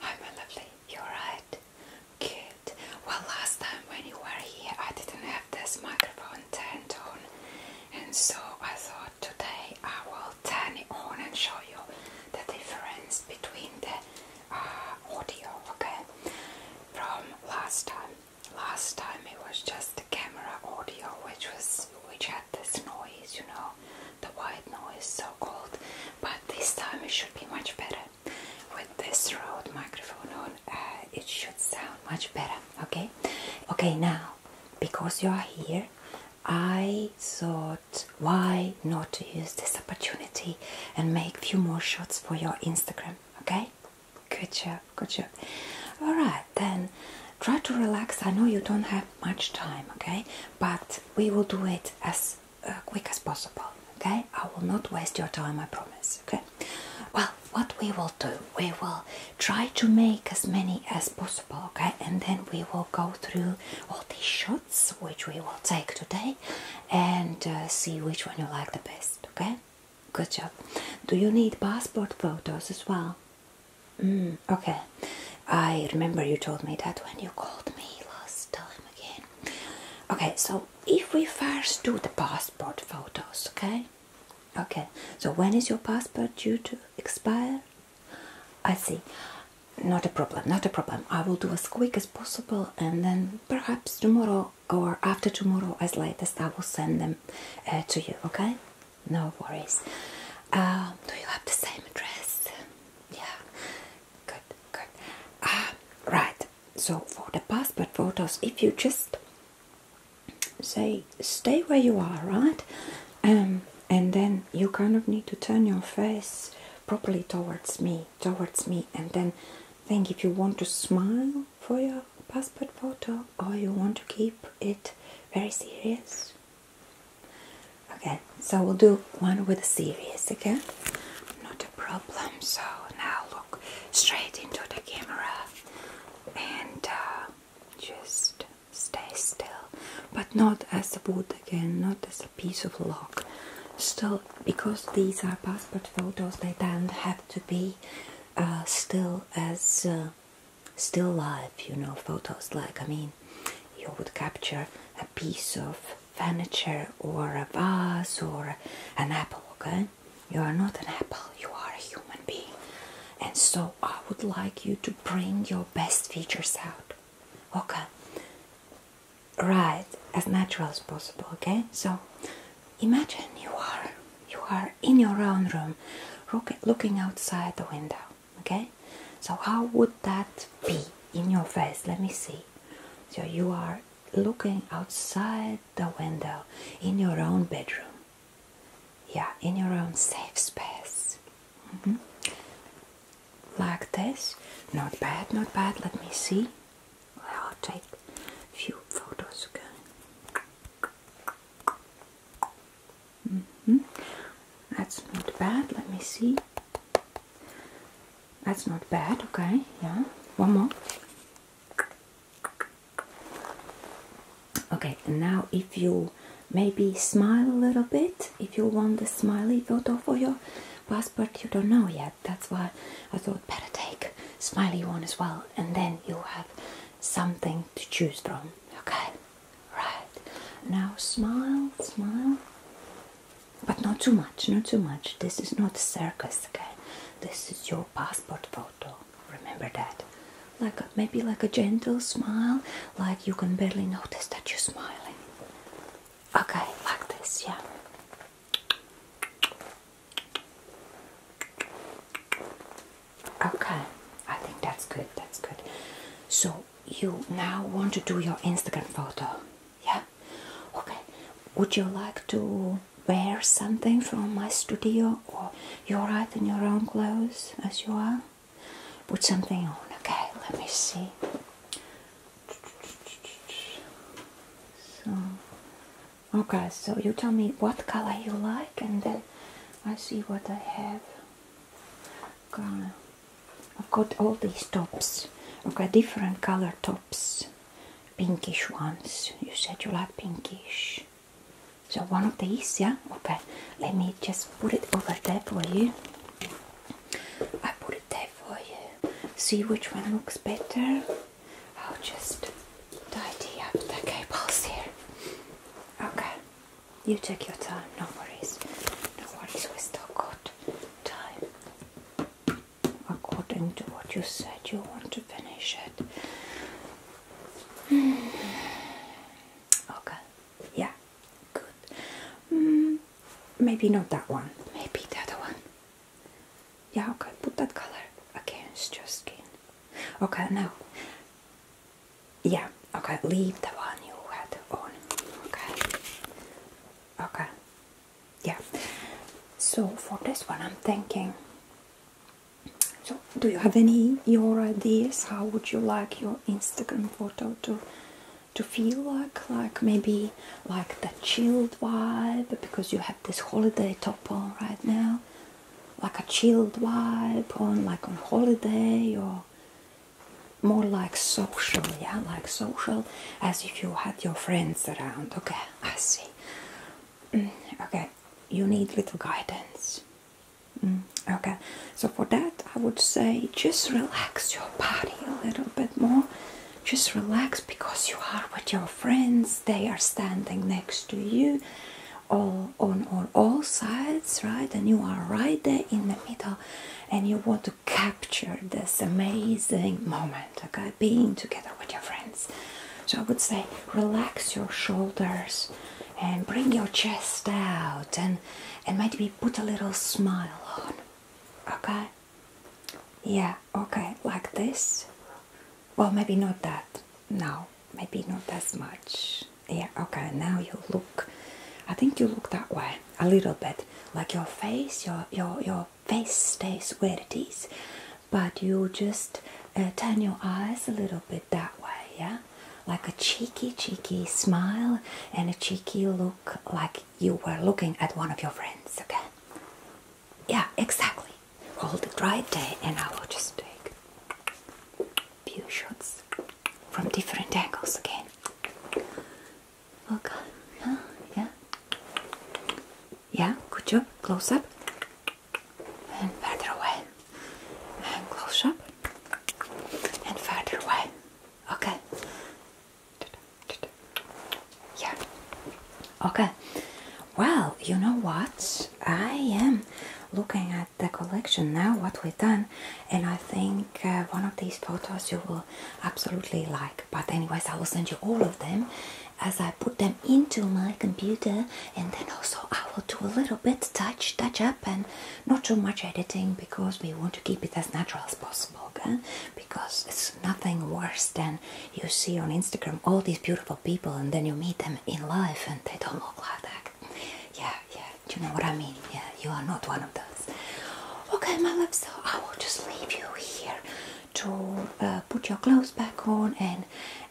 Hi my lovely, you alright? Good. Well last time when you were here I didn't have this microphone turned on and so I thought today I will turn it on and show you the difference between the uh, audio, okay? From last time. Last time it was just the camera audio which was which had this noise, you know the white noise so-called, but this time it should be much better. With this Rode microphone on, uh, it should sound much better, okay? Okay, now, because you are here, I thought why not use this opportunity and make few more shots for your Instagram, okay? Good job, good job. Alright, then try to relax. I know you don't have much time, okay? But we will do it as uh, quick as possible. Okay, I will not waste your time, I promise. Okay, well, what we will do, we will try to make as many as possible. Okay, and then we will go through all these shots which we will take today and uh, see which one you like the best. Okay, good job. Do you need passport photos as well? Mm, okay, I remember you told me that when you called me last time again. Okay, so if we first do the passport photos, okay? Okay, so when is your passport due to expire? I see. Not a problem, not a problem. I will do as quick as possible and then perhaps tomorrow or after tomorrow, as latest, I will send them uh, to you, okay? No worries. Uh, do you have the same address? Yeah, good, good. Ah, right. So for the passport photos, if you just say stay where you are, right? Um, and then you kind of need to turn your face properly towards me, towards me, and then think if you want to smile for your passport photo or you want to keep it very serious Okay, so we'll do one with a series, again. Not a problem. So now look straight into the camera and uh, just stay still, but not as a wood again, not as a piece of log. Still, because these are passport photos, they don't have to be uh, still as uh, still life, you know, photos like I mean you would capture a piece of furniture or a vase or an apple, okay? You are not an apple, you are a human being. And so I would like you to bring your best features out, okay? Right, as natural as possible, okay? So imagine you are you are in your own room looking outside the window okay so how would that be in your face let me see so you are looking outside the window in your own bedroom yeah in your own safe space mm-hmm. like this not bad not bad let me see I'll take a few photos again Mm-hmm. That's not bad. Let me see. That's not bad. Okay, yeah. One more. Okay, now if you maybe smile a little bit, if you want the smiley photo for your passport, you don't know yet. That's why I thought better take smiley one as well, and then you'll have something to choose from. Okay. Right. Now smile, smile. But not too much, not too much. This is not circus, okay? This is your passport photo. Remember that. Like maybe like a gentle smile, like you can barely notice that you're smiling. Okay, like this, yeah. Okay, I think that's good. That's good. So you now want to do your Instagram photo, yeah? Okay. Would you like to wear something from my studio, or you're right in your own clothes as you are? Put something on. Okay, let me see. So, okay. So you tell me what color you like, and then I see what I have. I've got all these tops. I've got different color tops, pinkish ones. You said you like pinkish. So one of these, yeah? Okay, let me just put it over there for you. I put it there for you. See which one looks better. I'll just tidy up the cables here. Okay, you take your time, no worries. No worries, we still got time. According to what you said, you want to finish it. Okay, yeah, good. Mm, maybe not that one, maybe the other one. Yeah, okay, put that color against your skin. Okay, now yeah, okay, leave the one you had on, okay, okay, yeah, so for this one I'm thinking, so do you have any your ideas, how would you like your Instagram photo to to feel like, like maybe like the chilled vibe, because you have this holiday top on right now, like a chilled vibe on like on holiday or more like social yeah like social as if you had your friends around okay i see mm, okay you need little guidance mm, okay so for that i would say just relax your body a little bit more just relax because you are with your friends they are standing next to you all on, all sides, right? And you are right there in the middle and you want to capture this amazing moment, okay? Being together with your friends. So I would say relax your shoulders and bring your chest out and and maybe put a little smile on. Okay? Yeah, okay, like this well maybe not that now maybe not as much yeah okay now you look i think you look that way a little bit like your face your your your face stays where it is but you just uh, turn your eyes a little bit that way yeah like a cheeky cheeky smile and a cheeky look like you were looking at one of your friends okay yeah exactly roll the dry day and I will just take few shots from different angles again. Okay. Yeah. Yeah, good job. Close up. And further away. And close up. And further away. Okay. Yeah. Okay. Well, you know what? i am looking at the collection now what we've done and i think uh, one of these photos you will absolutely like but anyways i will send you all of them as i put them into my computer and then also i will do a little bit touch touch up and not too much editing because we want to keep it as natural as possible because it's nothing worse than you see on instagram all these beautiful of people and then you meet them in life and they don't look like that. Yeah, yeah, you know what I mean? Yeah, you are not one of those. Okay, my love, so I will just leave you here to uh, put your clothes back on and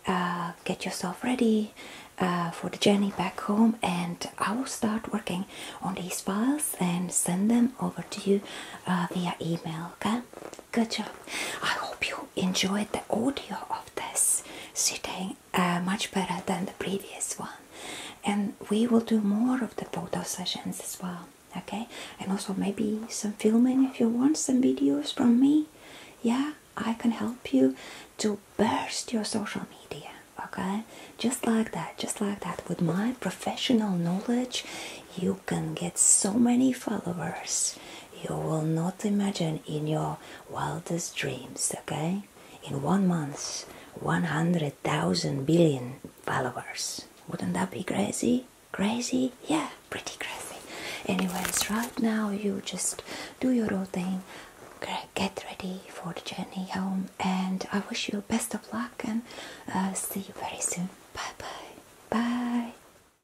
uh, get yourself ready uh, for the journey back home and I will start working on these files and send them over to you via email, okay? Good job. I hope you enjoyed the audio of this sitting uh, much better than the previous one. And we will do more of the photo sessions as well. Okay, and also maybe some filming if you want some videos from me. Yeah, I can help you to burst your social media. Okay, just like that, just like that. With my professional knowledge, you can get so many followers you will not imagine in your wildest dreams, okay? In one month, 100,000 billion followers. Wouldn't that be crazy? Crazy? Yeah, pretty crazy. Anyways, right now you just do your own thing, get ready for the journey home, and I wish you best of luck and uh, see you very soon. Bye bye. Bye.